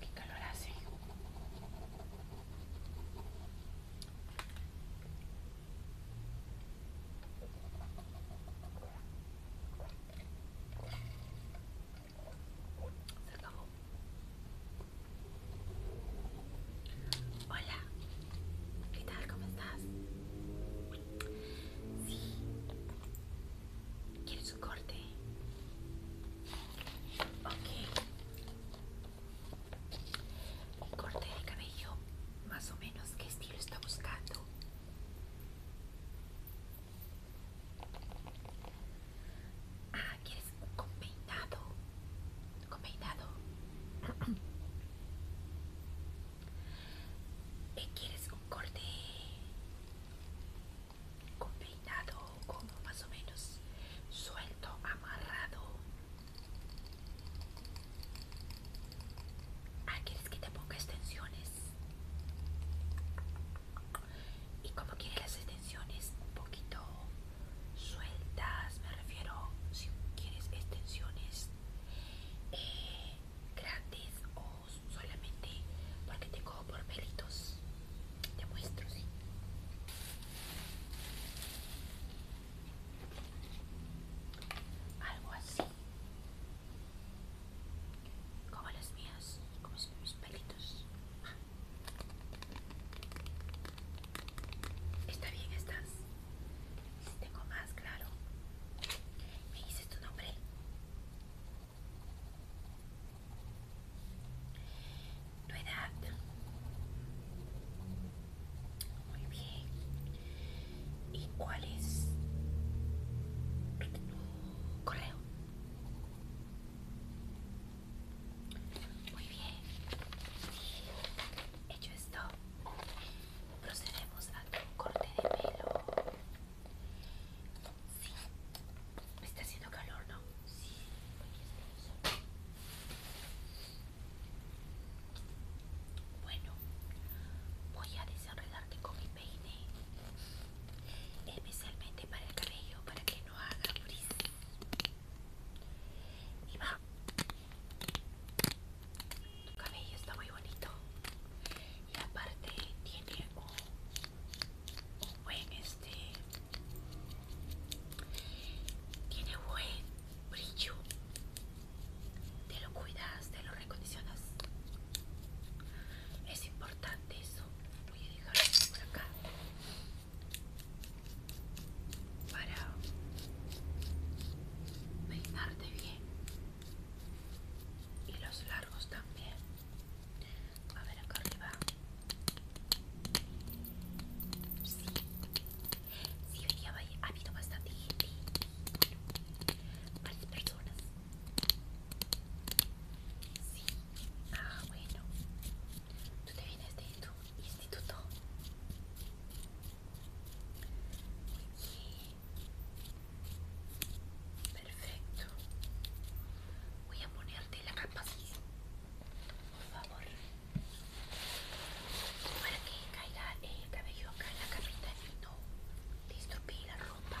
Qué calor hace. Se acabó. Hola, ¿qué tal? ¿Cómo estás? Sí. ¿Quieres un corte? Ok. Un corte de cabello, más o menos, ¿qué estilo está buscando? Ah, ¿quieres un peinado? con peinado. quieres un corte con peinado como más o menos suelto, amarrado? Ah, ¿quieres que te ponga extensiones? ¿Y como quieres las extensiones? Un poquito sueltas, me refiero si quieres extensiones gratis eh, grandes o solamente porque te cojo por pelitos. Te muestro, sí. Algo así. Como las mías, como mis pelitos. Está bien, estás. Si tengo más, claro. ¿Me dices tu nombre? Tu edad. Muy bien. ¿Y cuál es tu correo? Muy bien. Hecho esto, procedemos a un corte de pelo. Sí. Me está haciendo calor, ¿no? Sí. Bueno, voy a desenredarte con mi peine. Especialmente para el cabello, para que no haga bris. Y va. Tu cabello está muy bonito. Y aparte tiene un, buen este. Tiene buen brillo. Te lo cuidas, te lo recondicionas. Es importante eso. Voy a dejarlo por acá para peinarte bien y los largos también a ver acá arriba sí sí venía ha habido bastante gente varias personas sí ah bueno tú te vienes de instituto. Perfecto. Voy a ponerte la capa, por favor, para que caiga eh, el cabello acá en la capita y no te la ropa.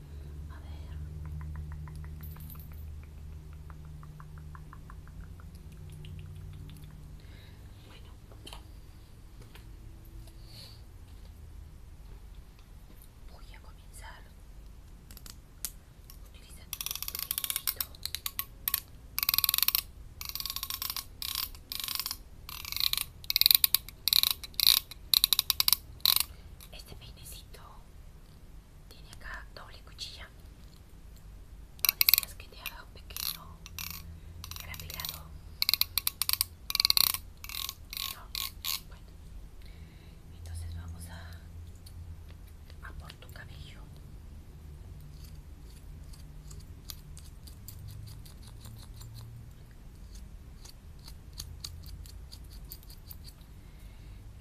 A ver. Bueno. Voy a comenzar utilizando este dibujito. Este peinecito tiene acá doble cuchilla. ¿No decías que te haga un pequeño grafilado? No, bueno. Entonces vamos a, a por tu cabello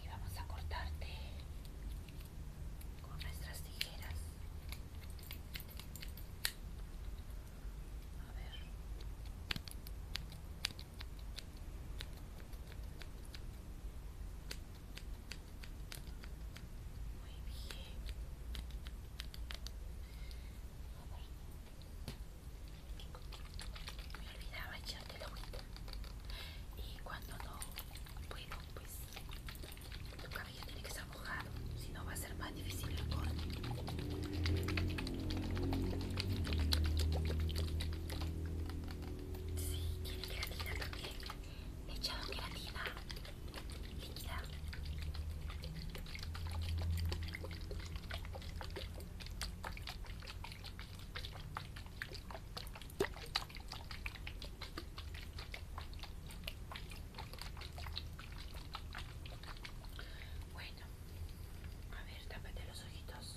y vamos a cortarte con nuestras tijeras a ver muy bien me olvidaba echarle la agüita y cuando no puedo pues tu cabello tiene que estar mojado si no va a ser más difícil el corte sí, tiene queratina también he echado queratina líquida bueno, a ver, tápate los ojitos.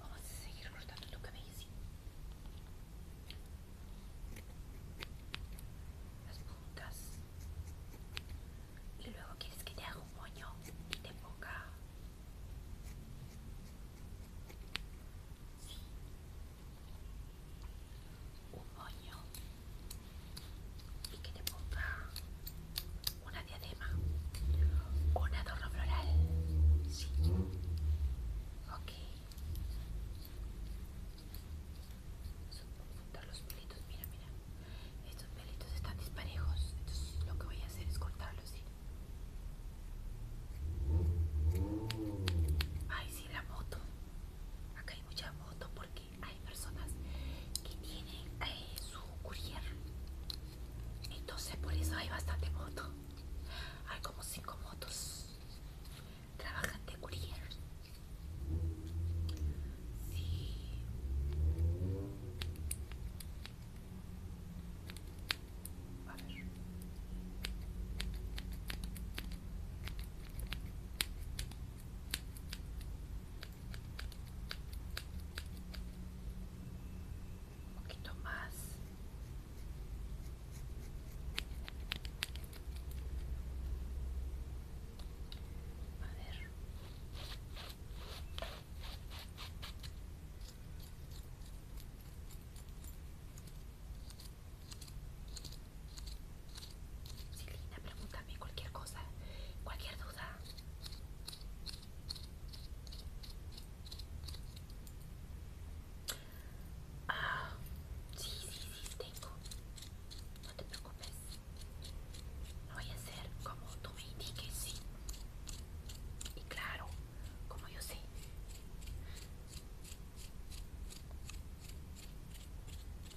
Vamos a seguir cortando tu cabello, Las puntas. Y luego quieres que te haga un moño y te ponga... Un moño y que te ponga una diadema, un adorno floral, sí, Ok. Cortar los pelitos, mira, mira. Estos pelitos están disparejos. Entonces lo que voy a hacer es cortarlos, Ay, sí, la moto. Acá hay mucha moto porque hay personas que tienen eh, su courier. Entonces por eso hay bastante moto hay como cinco motos trabajan de courier sí a ver un poquito más a ver Silvina, pregúntame cualquier cosa, cualquier duda. Ah, sí, sí, sí, tengo. No te preocupes. voy a hacer como tú me indiques, sí. Y claro, como yo sé.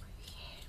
Muy bien.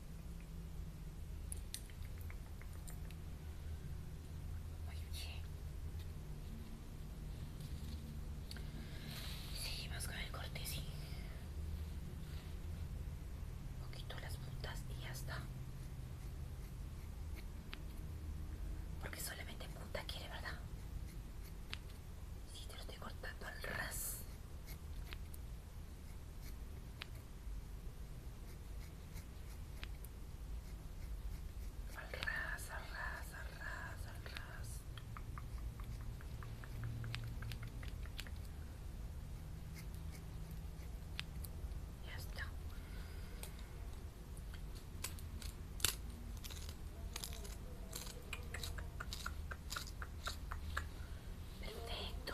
Sí, Seguimos con el corte, sí. Un poquito las puntas y ya está. Porque solamente punta quiere, ¿verdad? Sí, te lo estoy cortando al ras. Al ras, al ras, al ras, al ras. Ya está. Perfecto.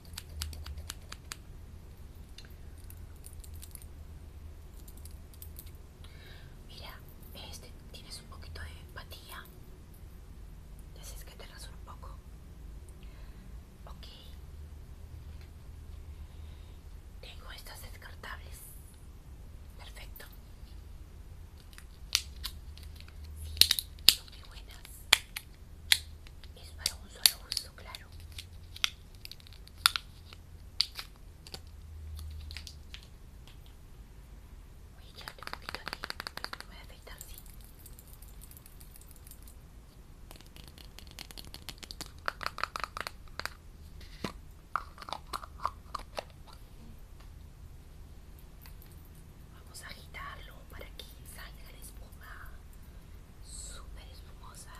Mira, este, tienes un poquito de empatía. Dices que te rasuro un poco. Ok. Tengo estas descartables. Perfecto. son muy buenas es para un solo uso, claro. Voy a echarle un poquito aquí, me voy a afectar, así. Vamos a agitarlo para que salga la espuma super espumosa.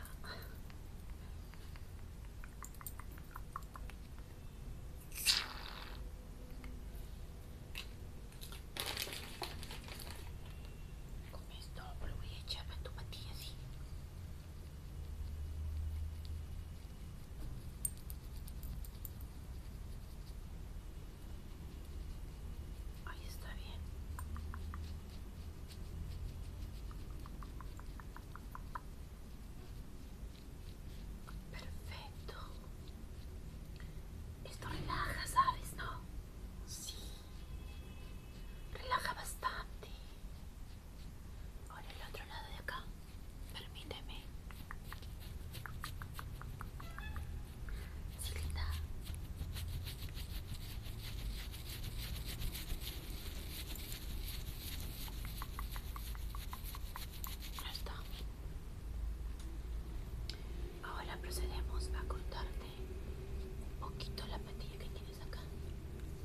Con esto lo voy a echar a tu patilla así. Ahí está bien. Perfecto. Esto relaja, ¿sabes, no? Sí. Relaja bastante. Ahora el otro lado de acá. Permíteme. Sí, Ahora procedemos a cortarte un poquito la patilla que tienes acá.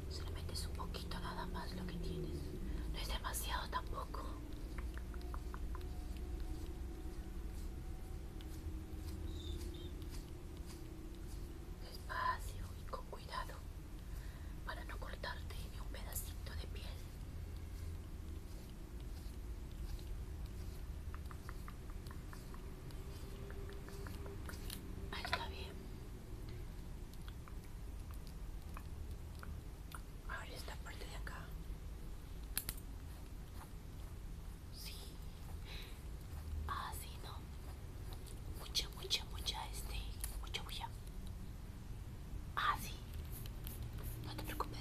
Solamente es un poquito nada más lo que tienes. No es demasiado tampoco. Despacio y con cuidado para no cortarte ni un pedacito de piel. Ahí está bien. Ahora esta parte de acá. Sí. así ah, no. Mucha, mucha, mucha, este. Mucha bulla. Ah, No te preocupes.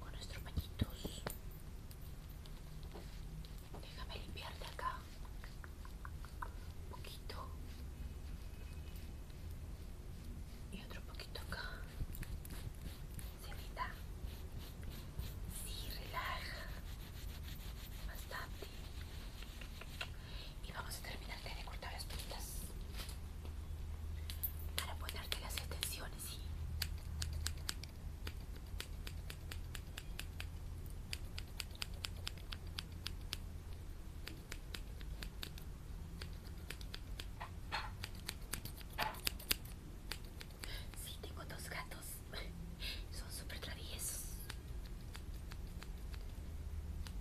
con nuestros pañitos déjame limpiar de acá un poquito y otro poquito acá ¿Se cenita sí relaja bastante y vamos a terminarte de cortar las puntas para ponerte las extensiones ¿sí? tengo dos gatos. Son súper traviesos.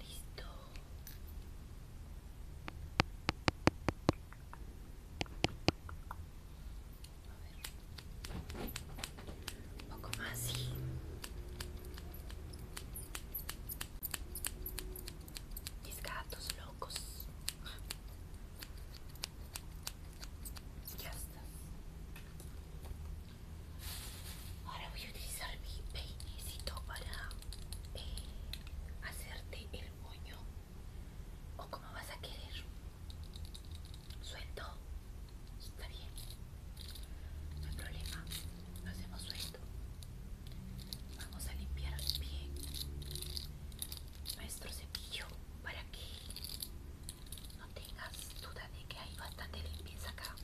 Listo. A ver. Un poco más, sí. gatos locos. Ya está. Ahora voy a utilizar mi peinecito para eh, hacerte el moño. ¿O como vas a querer? ¿Suelto? Está bien. No hay problema. Lo hacemos suelto. Vamos a limpiar el pie nuestro cepillo para que no tengas duda de que hay bastante limpieza acá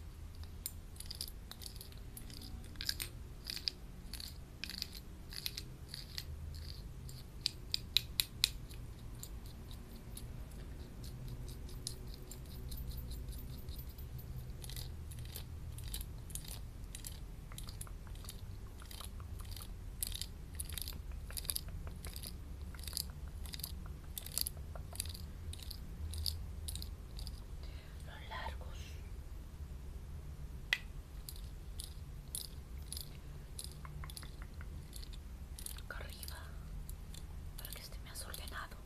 los largos acá arriba para que esté más ordenado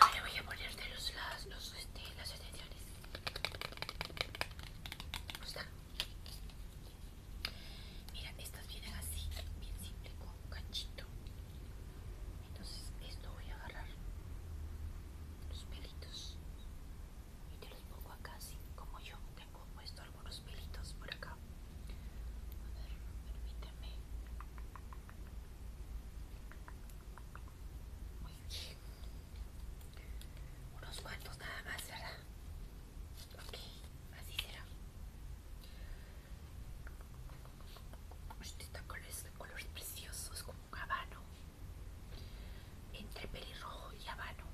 Ahora voy a ponerte los, las, los, este, las extensiones. Mira, estas vienen así, bien simple, con un ganchito. Entonces, esto voy a agarrar los pelitos y te los pongo acá así como yo tengo puesto algunos pelitos por acá a ver permíteme muy unos cuantos nada más verdad ok así será este está con los este colores preciosos como un habano entre pelirrojo y habano.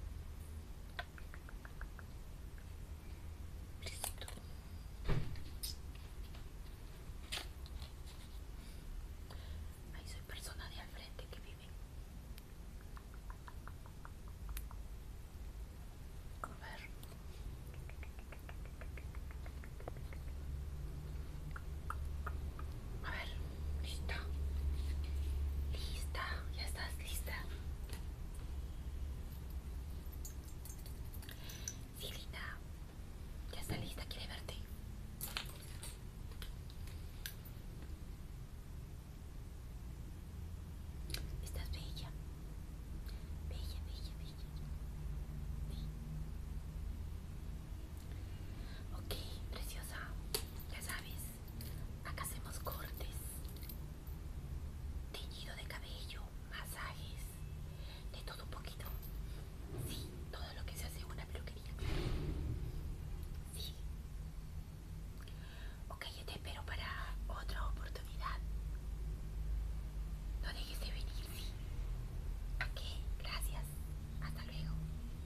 Listo. Ahí soy persona de al frente que vive. A ver. A ver, lista Lista, ya estás lista. Sí, linda. Ya está lista, quiere verte. Estás bella. Bella, bella, bella. bella. Ok, preciosa. Ya sabes acá hacemos cortes, teñido de cabello, masajes, de todo un poquito. Sí, todo lo que se hace en una peluquería. Sí. Ok, yo te espero para otra oportunidad. No dejes de venir, sí. ¿A Gracias. Hasta luego.